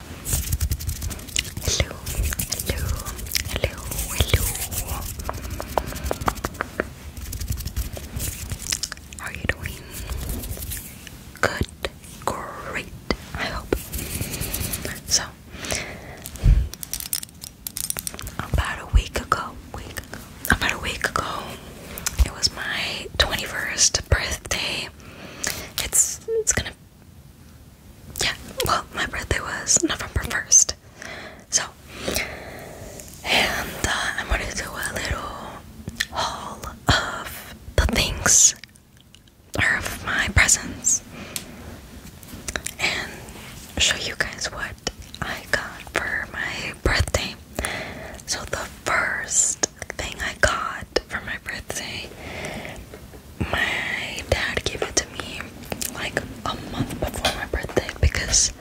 Hello, hello, hello, hello. How are you doing? Good, great, I hope. So, about a week ago, week ago, about a week ago, it was my 21st birthday. It's it's gonna yeah, well, my birthday was November 1st. So, and uh, I'm gonna do a little haul of the things of my presents and show you guys what I got for my birthday. So, the first thing I got for my birthday. My dad gave it to me like a month before my birthday because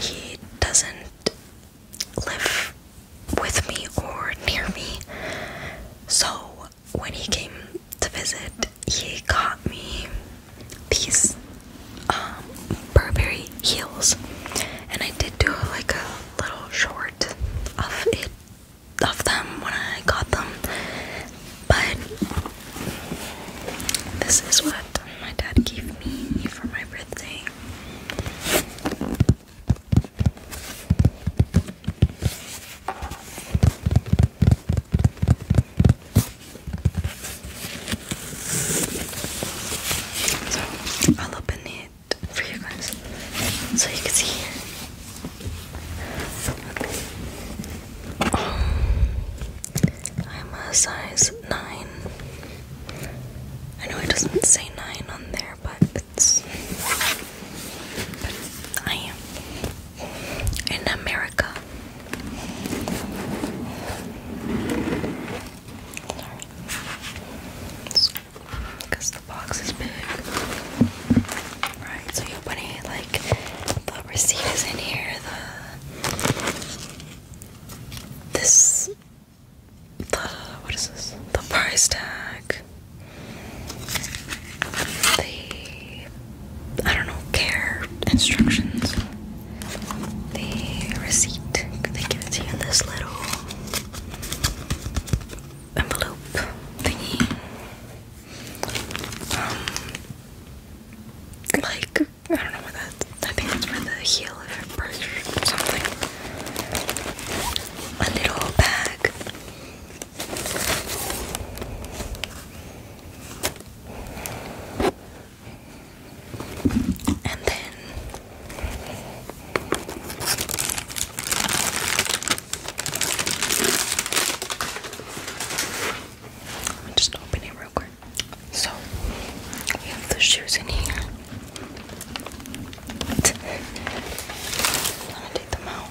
he doesn't live with me or near me. So when he came to visit, he got me these um, Burberry heels, and I did do like a little short of it of them when I got them, but this is what my dad gave me for my birthday. So I'll open it for you guys so you can see oh, I'm a size 9. I know it doesn't say 9 on there, but it's. But I am. In America. Sorry because the box is big. Right, so you open like the receipt is in here, the this the what is this? The price tag. The I don't know, care instructions. The receipt. They give it in this little envelope thingy. Um, like I don't know what that. I think that's for the heel of a purse or something. A little bag. And then I'll just open it real quick. So we have the shoes in here. I'm take them out.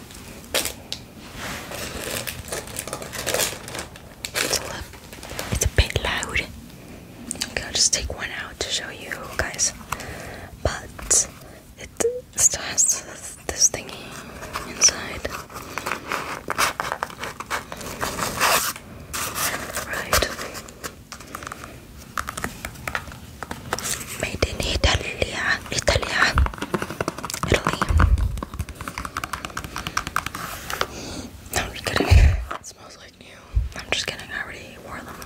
It's a, it's a bit loud. Okay, I'll just take one out to show you guys. But it still has this, thingy inside. Right. Made in Italia, Italia, Italy. No, I'm just smells like new. I'm just kidding. I already wore them,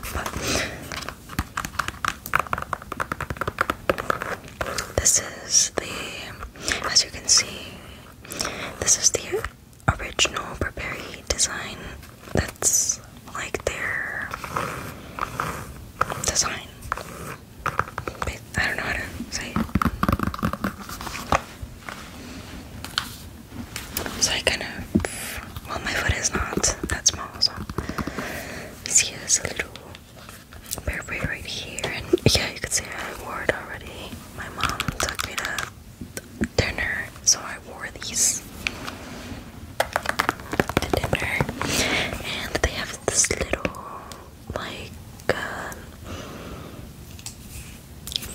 this is the, as you can see, this is the original Burberry design. That's like their design. I don't know how to say it. So kind of well, my foot is not that small, so. See, there's a little berberry right here, and yeah, you could see I wore it already. My mom took me to dinner, so I wore these to dinner, and they have this little, like, um,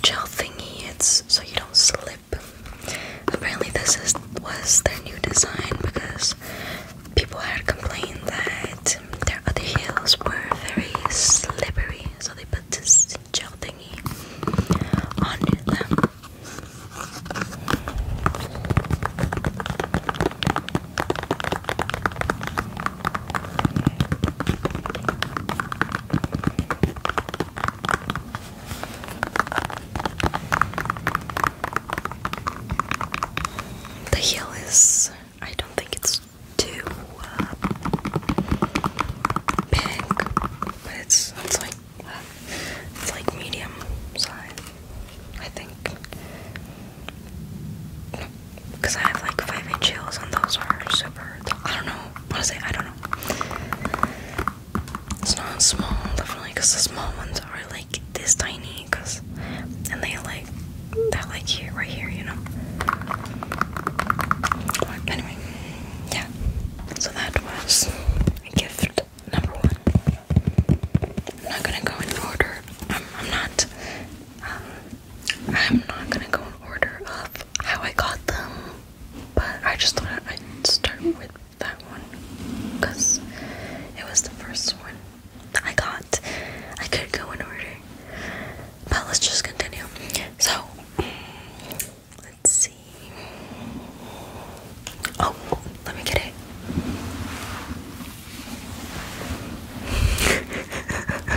gel thingy. It's so you don't slip Apparently, this is was their new design because people had complained that their other heels were very slippery, so they put this gel thingy on them. The heel is, I don't think it's too uh, big, but it's, it's like uh, it's like medium size, I think. Because I have like 5 inch heels and those are super. I don't know. What Honestly, I don't know. It's not small, definitely, because the small ones are like this tiny, and they like that like here, right here, you know. Anyway, yeah. So that was gift number one. I'm not gonna go in order. I'm, not. Um, I'm not gonna go in order of how I got them, but I just thought I'd start with that one because it was the first one I got. I could go in order, but let's just continue. So, let's see. Oh, let me get it.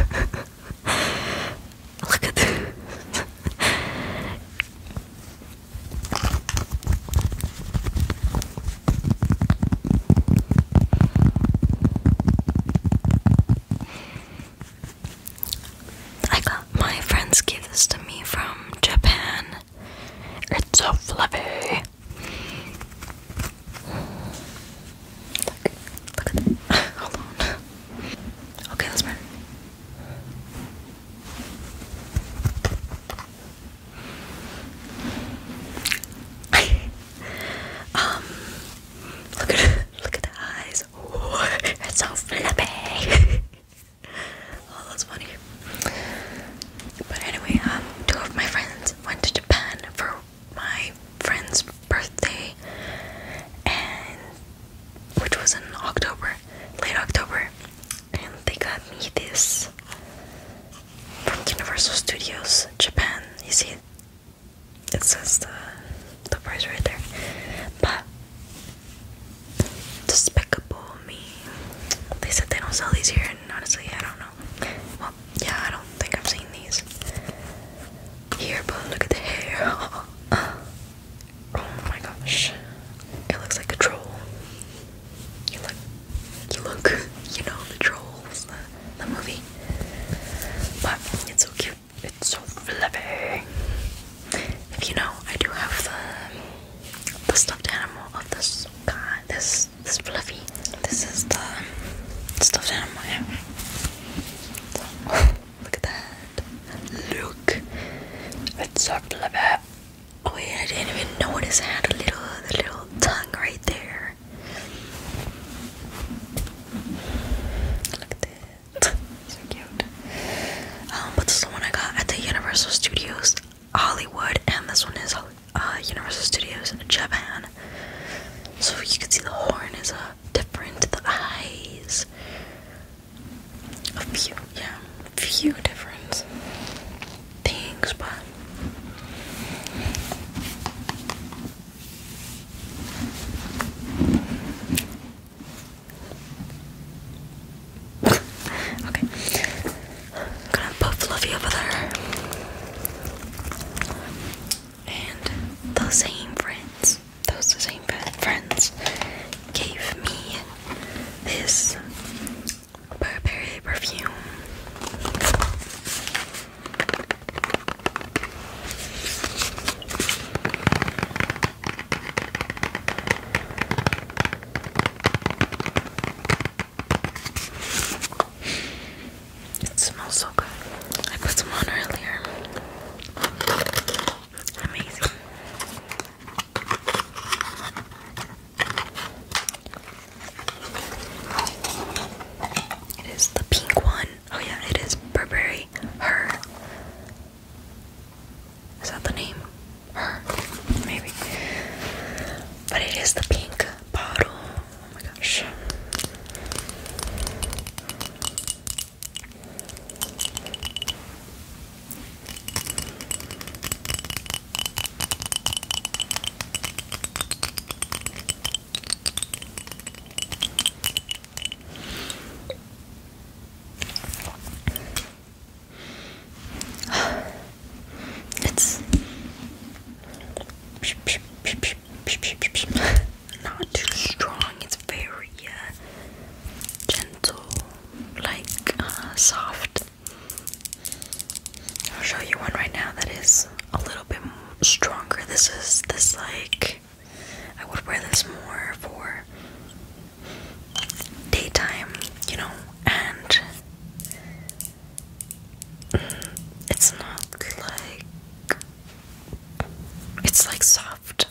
Look at this. I got my friends gave this to me from Japan. It's so fluffy. Look, look at that. Hold on. Okay, that's better. um, look at look at the eyes. it's so flippy. oh, that's funny. But anyway, um, two of my friends went to Japan for my friend's birthday, and which was in October, late October, and they got me this from Universal Studios Japan. You see it? It says the the price right there. But despicable me. They said they don't sell these here, and honestly, I don't know. Well, yeah, I don't think I've seen these here. But look at the hair. Oh my gosh. It looks like a troll. You look you look, you know, the trolls, the, movie. But it's so cute. It's so fluffy. If you know, I do have the stuffed animal of this guy. This this fluffy. This is the stuffed animal. look at that. Look. It's so fluffy. Oh yeah, I didn't even notice I had a little, the little tongue right there. Look at this. so cute. Um, but this is the one I got at the Universal Studios Hollywood, and this one is uh, Universal Studios in Japan. So you can see the horn is uh, different, the eyes a few, yeah, few different things, but okay. I'm gonna put Fluffy over there. And the same friends, those same friends, gave me this Burberry perfume. It smells so good. I put some on earlier. Amazing. It is the pink one. Oh yeah, it is Burberry. Her. Is that the name? Her. Maybe. But it is the pink bottle. Oh my gosh. It's not too strong, it's very uh, gentle like uh, soft. I'll show you one right now that is a little bit stronger. This is this like I would wear this more for daytime, you know, and it's not like it's like soft.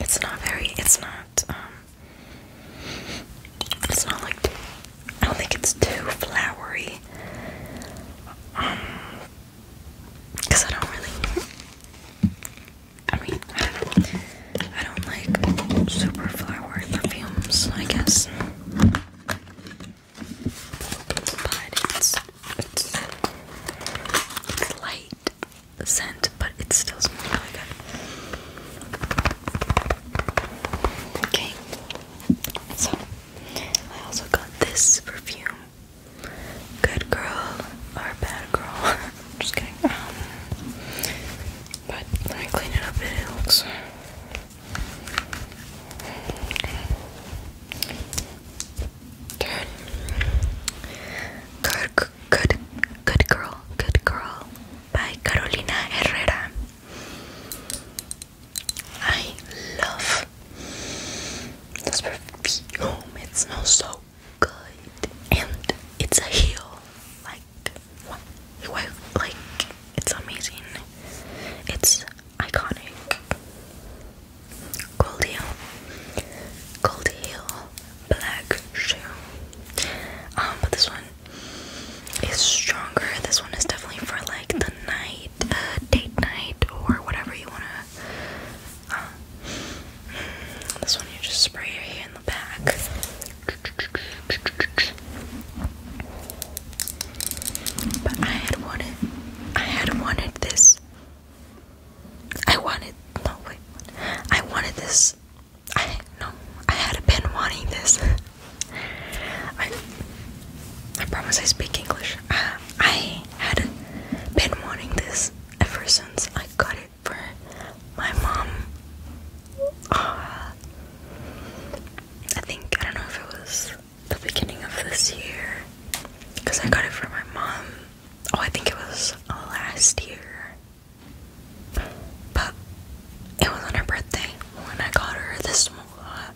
It's not very, it's not, um, it's not like, I don't think it's too flowery. Um, because I don't really, I mean, I don't like super flowery perfumes, I guess but it's, it's, it's light scent, but it still smells really good. Okay, so I also got this perfume. Good girl or bad girl? just kidding. Um, but I clean it up, it looks turn. Good, good, good girl, good girl. By Carolina Herrera. I love this perfume. It smells so good, and it's a heel. Like, what? Like, it's amazing. It's iconic. Gold heel, gold heel, black shoe. Um, but this one is stronger. This one is definitely for like the night, uh, date night, or whatever you wanna. Uh, this one you just spray your hair in the back. But I had wanted, I had wanted this. I wanted, no wait, I wanted this. I no, I had been wanting this. I, I promise I speak English. I had been wanting this ever since I got it for my mom. Uh, I think I don't know if it was the beginning of this year because I got it for my mom. Oh, I think it was last year. But it was on her birthday when I got her this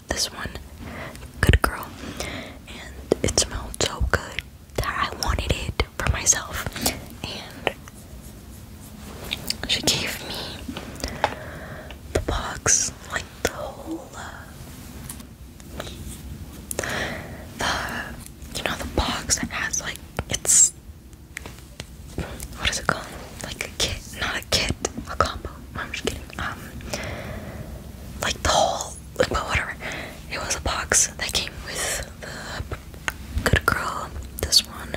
this one. Good girl. And it smelled so good that I wanted it for myself. And she gave me the box, like the whole uh, the you know the box that has like it's what is it called? Like a kit, not a kit, a combo. I'm just kidding. Um, like the whole, but whatever. It was a box that came with the Good Girl. This one,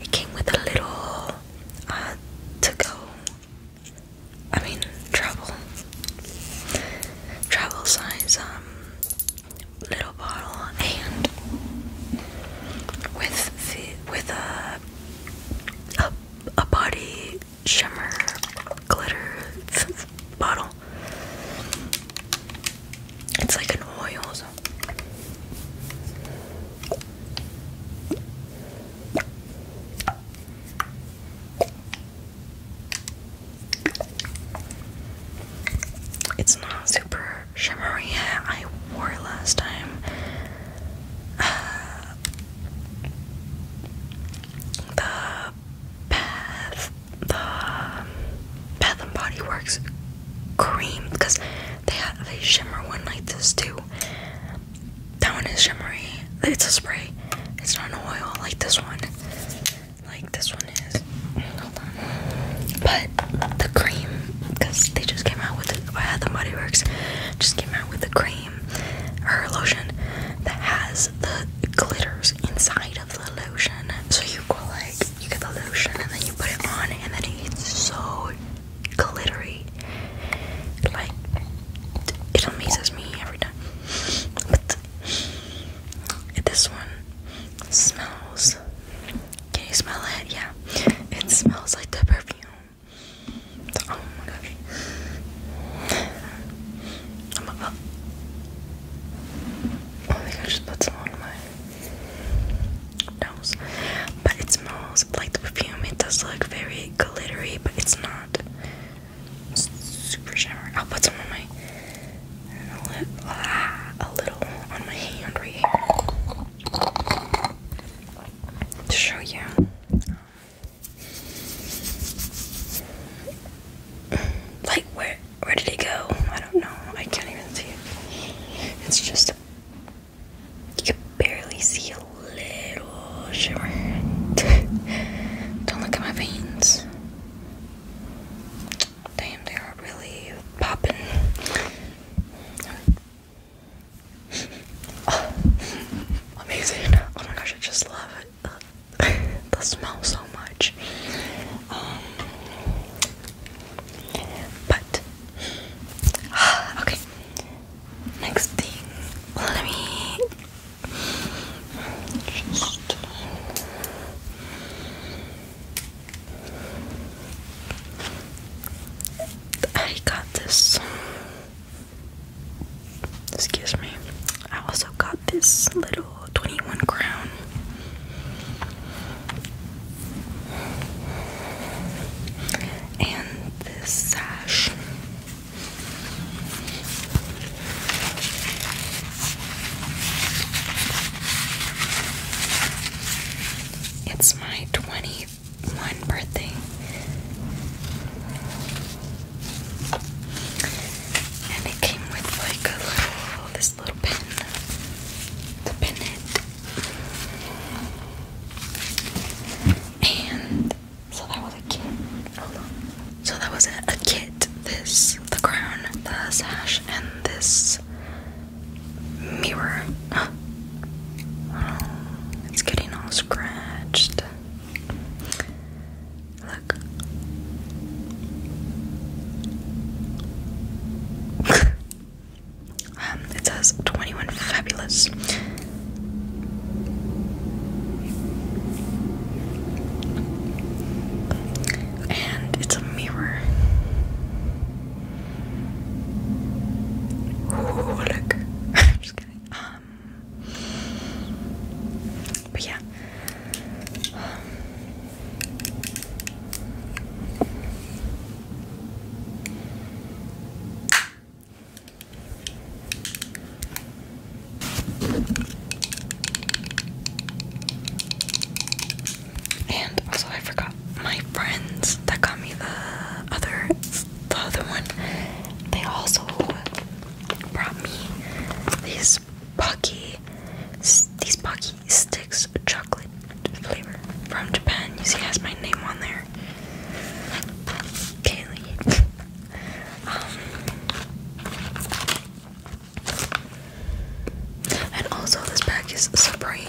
it came with a little uh, to go I mean, travel. Travel size, um, little bottle, and with the, with a, a, a body shimmer glitter bottle. It's like an oil. So. It's not super shimmery. I wore it last time. the Bath, the Bath and Body Works cream because they have a shimmer one like this too that one is shimmery. It's a spray. It's not an oil like this one. Like this one is. But the cream, because they just came out with it. by the Body Works just came out with the cream or lotion that has the glitters inside of the lotion. So you go like you get the lotion and then you put it on and then it's so glittery. Like, it amazes me every time. But this one smells. Can you smell it? Yeah, it smells like the perfume. Oh my gosh. I'm about Oh my gosh, on my nose. But it smells like the perfume. It does look very glittery, but it's not. Super shimmer. I'll put some on my a, little on my hand right here to show you. Like where where did it go? I don't know. I can't even see it. It's just you barely see a little shimmer. Don't look at my veins. Damn, they are really popping. Oh, amazing. Oh my gosh, I just love it. the smell so much. Um, but, okay, Next thing, let me just I got this. Excuse me. I also got this little 21 crown. And this sash. It's my 21 birthday. And it came with like a little this little pin to pin it. And so that was a kit. So that was a, kit. This, the crown, the sash, and this mirror. it's getting all scratched. Look. um, it says 21 Fabulous. And it's a mirror. Ooh, look. I'm just kidding. Um, but yeah. And also, I forgot my friends that got me the other, the other one. They also brought me these Pocky, these Pocky sticks chocolate flavor from Japan. You see, has my name on there. Kaylee um, and also, this bag is Supreme.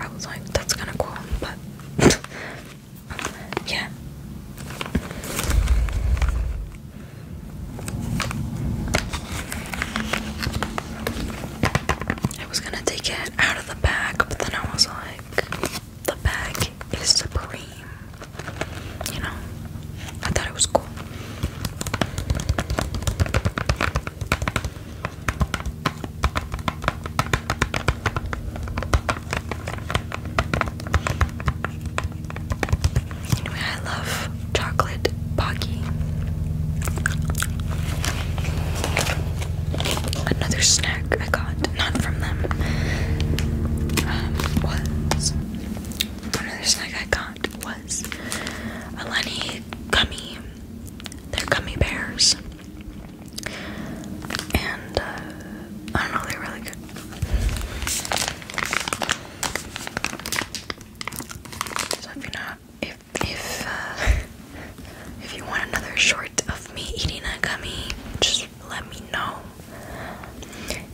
I was like, that's kind of cool, but yeah. I was gonna take it out of the bag, but then I was like, the bag is supreme. You know, I thought it was cool. Anyway, I love chocolate pocky. Another snack I got got, not from them, um, another snack I got was a Lenny gummy. They're gummy bears, and uh, I don't know, they're really good. So if you're not, if if uh, if you want another short of me eating a gummy, just let me know.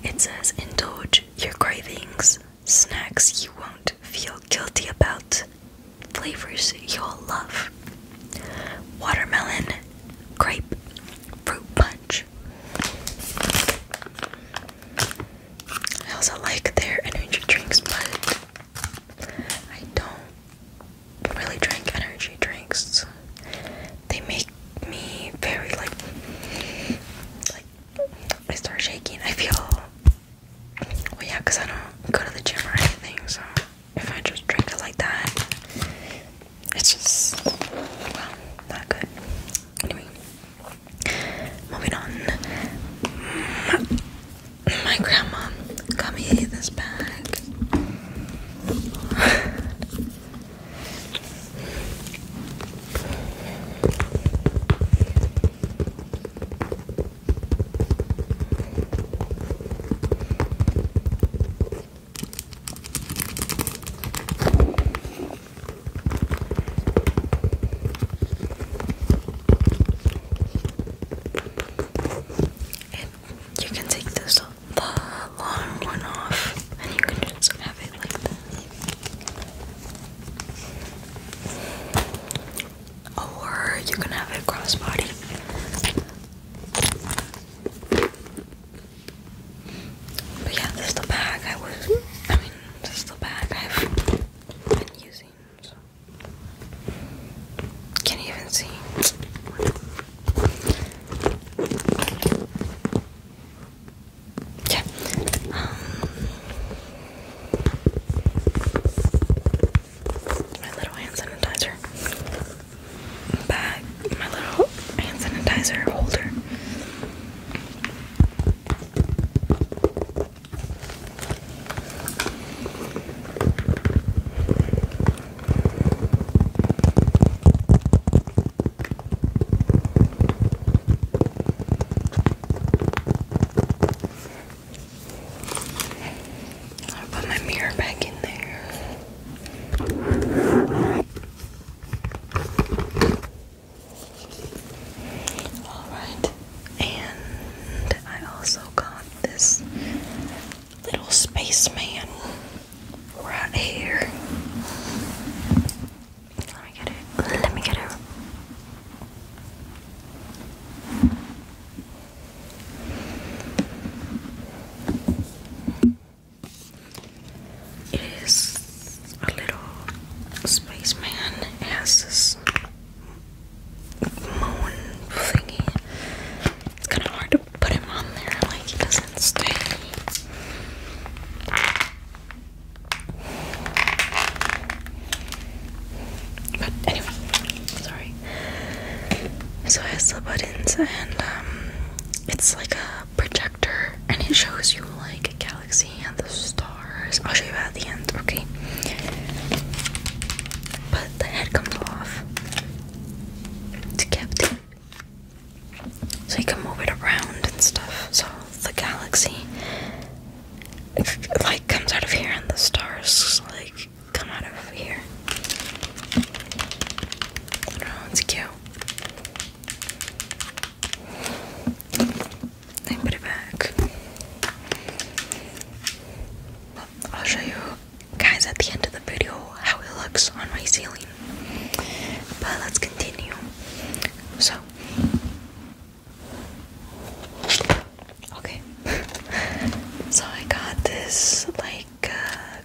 It says indulge your cravings, snacks you won't feel guilty about, flavors you'll love. Watermelon, grape, fruit punch. I also like their energy drinks, but I don't really drink energy drinks. They make me very like like I start shaking. I feel well yeah, because I don't go to the gym or anything, so if I just drink it like that, it's just not good. Anyway. Moving on. My grandma got me this bag you can take this the long one off, and you can just have it like this. Or you can have it crossbody. But yeah, this is the bag I was. I mean, this is the bag I've been using. Can not even see? Yeah. Um, my little hand sanitizer bag, my little hand sanitizer holder. I'll put my mirror back in there. Alright, and I also got this little spaceman right here. Let me get it. Let me get it. It is a little spaceman. has this moon thingy. It's kind of hard to put him on there, like he doesn't stay. But anyway, sorry. So I have the buttons and um, it's like a projector and it shows you like a galaxy and the stars. I'll show you at the end, okay? But the head comes off to Captain. So you can move it around and stuff. So the galaxy like comes out of here and the stars like come out of here. Oh, it's cute. I put it back. I'll show you guys at the end of the video how it looks on my ceiling. But let's continue. So okay. so I got this like uh,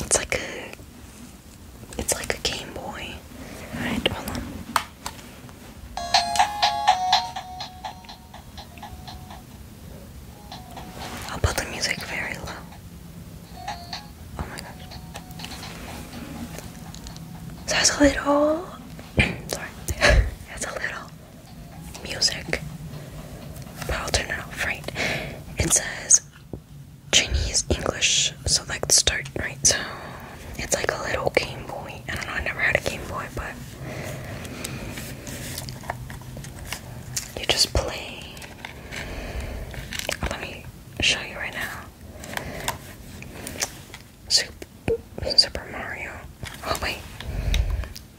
it's like a it's like a Game Boy. Alright, hold on. I'll put the music very low. Oh my gosh. So that's a little. sorry. that's a little music. But I'll turn it off, right? It says Chinese English select start, right? So it's like a little Game Boy. I don't know, I never had a Game Boy, but you just play. Let me show you right now. Super, Super Mario. Oh wait.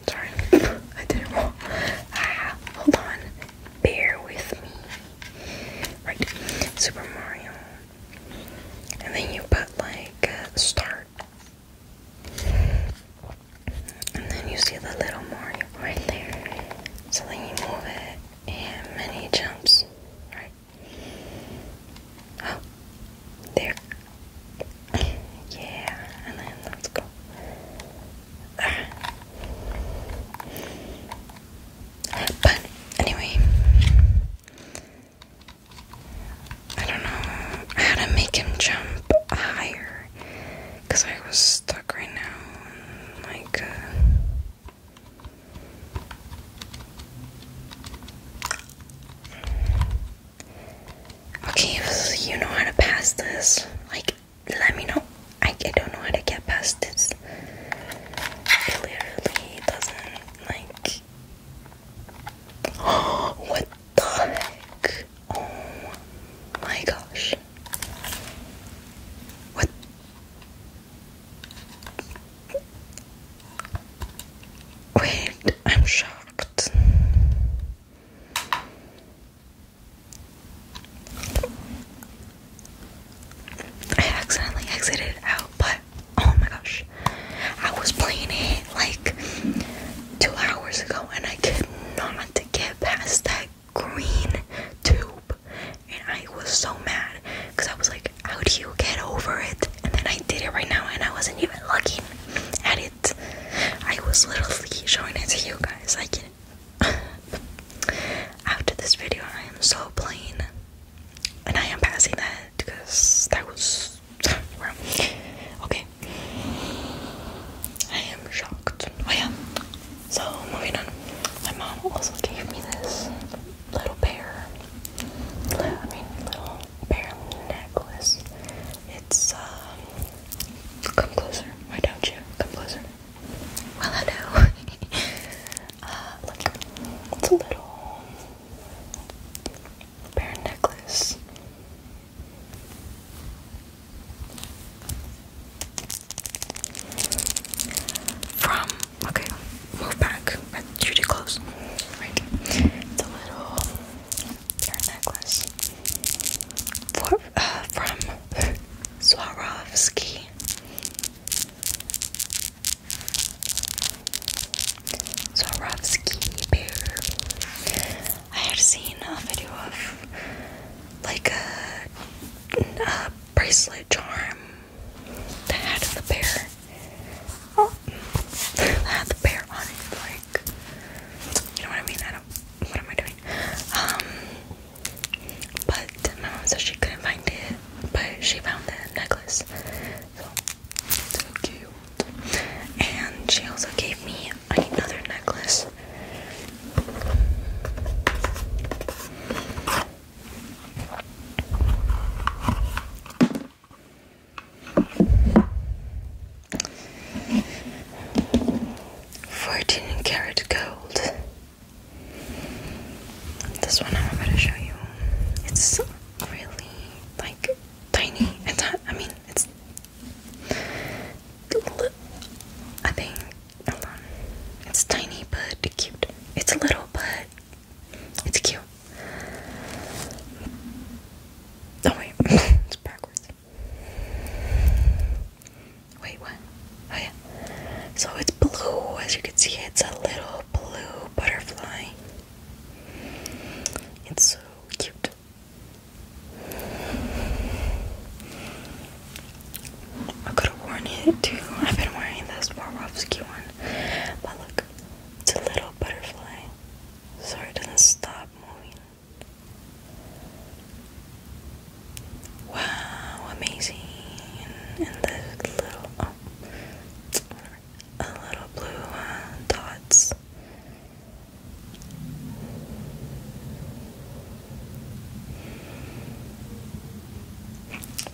Sorry, I did it wrong. Ah, hold on. Bear with me. Right, Super Mario. And then you put like start and then you see the little Mario right there. So then you move it, and many jumps, right? Oh, there. Yeah, and then let's go. Ah. But anyway, I don't know how to make him jump higher because I was stuck right now. like, uh, okay, you know how to pass this, like, let me know. I, don't know how to get past this. It literally doesn't like what the heck? Oh my gosh. What? Wait, I'm shocked. I accidentally exited out, but oh my gosh. I was playing it like two hours ago and I could not get past that green tube. And I was so mad because I was like, how do you get over it? And then I did it right now and I wasn't even looking at it. I was literally showing it to you guys. I can After this video, I am so plain. And I am passing that because that was okay. I am shocked. I oh, am So moving on. My mom also gave me this little bear. I mean little bear necklace. It's um come closer. Why don't you? Come closer. Well I know. Uh, look. It's a little Bear necklace. From okay, move back. That's too close. Right. The little bear necklace. Uh, from Swarovski. Swarovski bear. I had seen a video of like a, bracelet charm that had the bear. Oh, had the bear on it. Like, you know what I mean? I don't. What am I doing? Um, but my mom said she couldn't find it, but she found the necklace. So cute. And she also gave me another necklace. Fourteen karat gold. This one I'm about to show you. It's so really like tiny. It's not, I mean, it's. I think. Hold on. It's tiny but cute. It's little but it's cute. Oh, wait. it's backwards. Wait, what? Oh, yeah. So it's blue. As you can see, it's a little blue butterfly. It's so cute. I could have worn it too. I've been wearing this Swarovski one. But look, it's a little butterfly. So doesn't stop moving. Wow, amazing. And the little. Oh, a little blue uh, dots.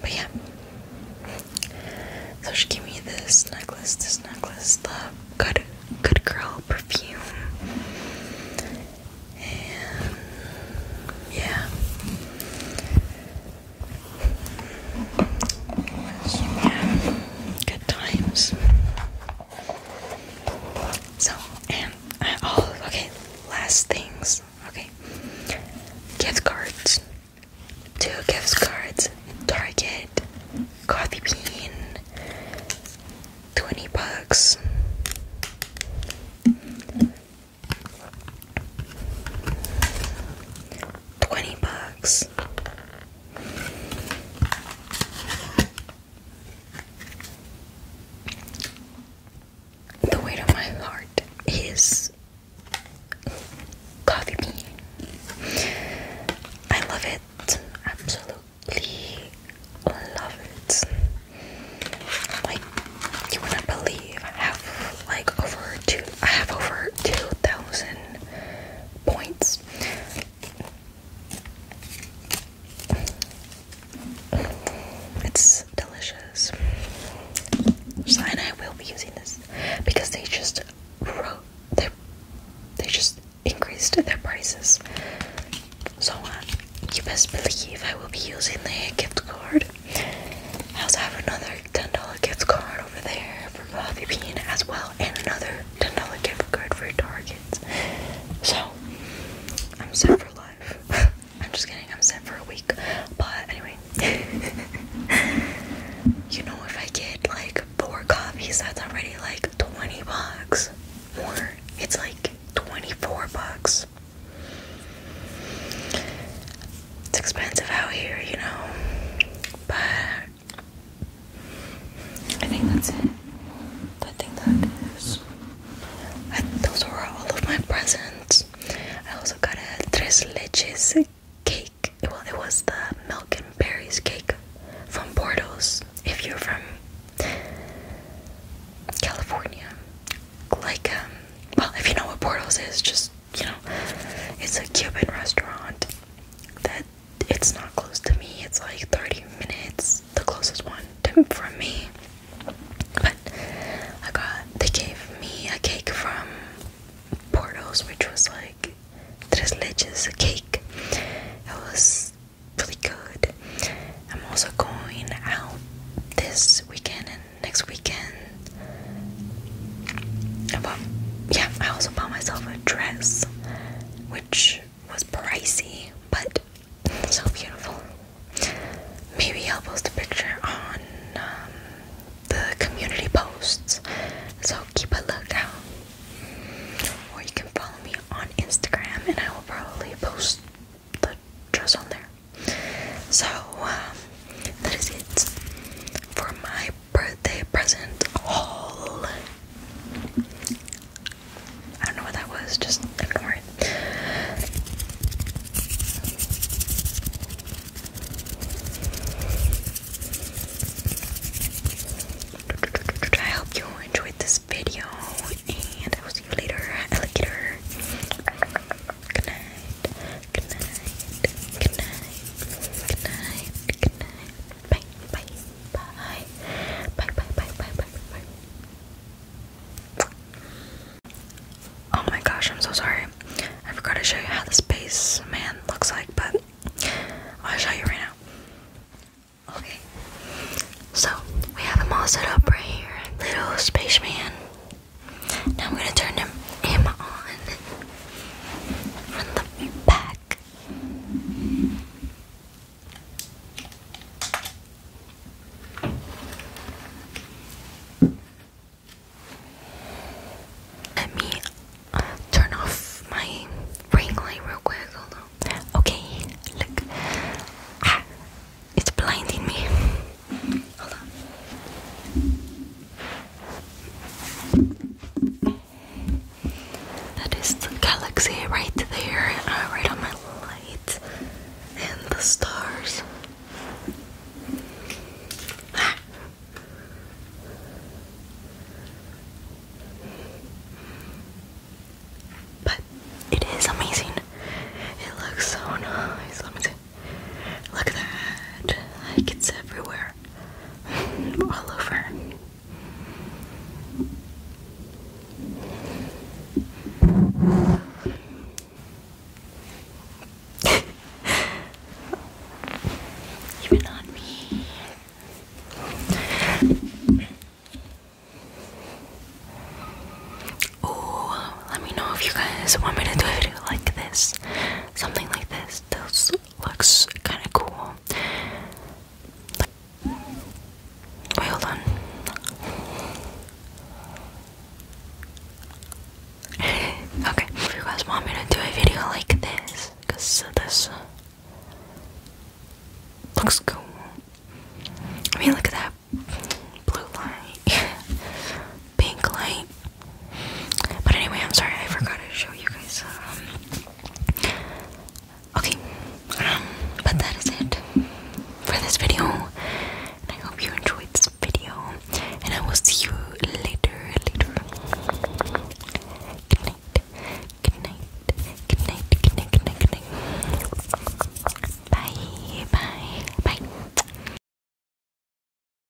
But yeah, so she gave me this necklace, this necklace, the Good Good Girl perfume, and yeah, good times. So, and oh, okay, last things. Okay, gift cards. Two gift cards. Target, coffee bean, twenty bucks. Twenty bucks. The weight of my heart is coffee bean. I love it. Absolutely love it. Like you wouldn't believe I have like over two I have over two thousand points. It's delicious. So, I will be using this because they just wrote their, they just increased their prices. So, uh, you best believe I will be using the gift card. I also have another $10 gift card over there for Coffee Bean as well, and another $10 gift card for Target. So, I'm set for life. I'm just kidding, I'm set for a week. But anyway, you know, if I get like four copies, that's already like 20 bucks, or it's like 24 bucks. It's expensive out here, you know, but I think that's it. I think that is. those were all of my presents. I also got a tres leches cake. Well, it was the milk and berries cake from Bordeaux. If you're from California, like um, well, if you know what Bordeaux is, just you know, it's a Cuban restaurant that it's not close to me. It's like 30 minutes, the closest one to, me. But I got, they gave me a cake from Portos, which was like tres leches, a cake. It was really good. I'm also going out this weekend and next weekend I yeah, I also bought myself a dress, which was pricey, but so beautiful. Maybe I'll post a picture on um, the community posts, so keep a lookout. Or you can follow me on Instagram, and I will probably post the dress on there. So um, that is it for my birthday present haul. I don't know what that was, just ignore it. I hope you enjoyed this video, and I will see you later. Alligator. Good night. Good night. Good night. Good night. Good night. Bye. Bye. Bye. Bye. Bye. Bye. Bye. Bye. Bye. Oh my gosh, I'm so sorry. I forgot to show you how the space man looks like, but I'll show you right now. Okay. So we have him all set up right here, little spaceman. Now I'm gonna turn him him on on the back. Let me turn off my ring light real quick. Hold on. Okay, look. Ah, it's blinding me. Hold on. That is the galaxy right there, uh, right on my light, and the stars. But it is amazing. It looks so nice. Let me see. Look at that. Like it's everywhere. All over. Even on me. Oh, let me know if you guys want me to do a video like this something like this. This looks kind of cool. Wait, hold on. okay, if you guys want me to do a video like this, because this looks cool. I mean, look at that blue light. pink light. But anyway, I'm sorry, I forgot to show you guys. Um, okay, um, but that is it for this video. And I hope you enjoyed this video. And I will see you later, later. Good night, good night, good night, good night, good night, good night. Bye, bye, bye.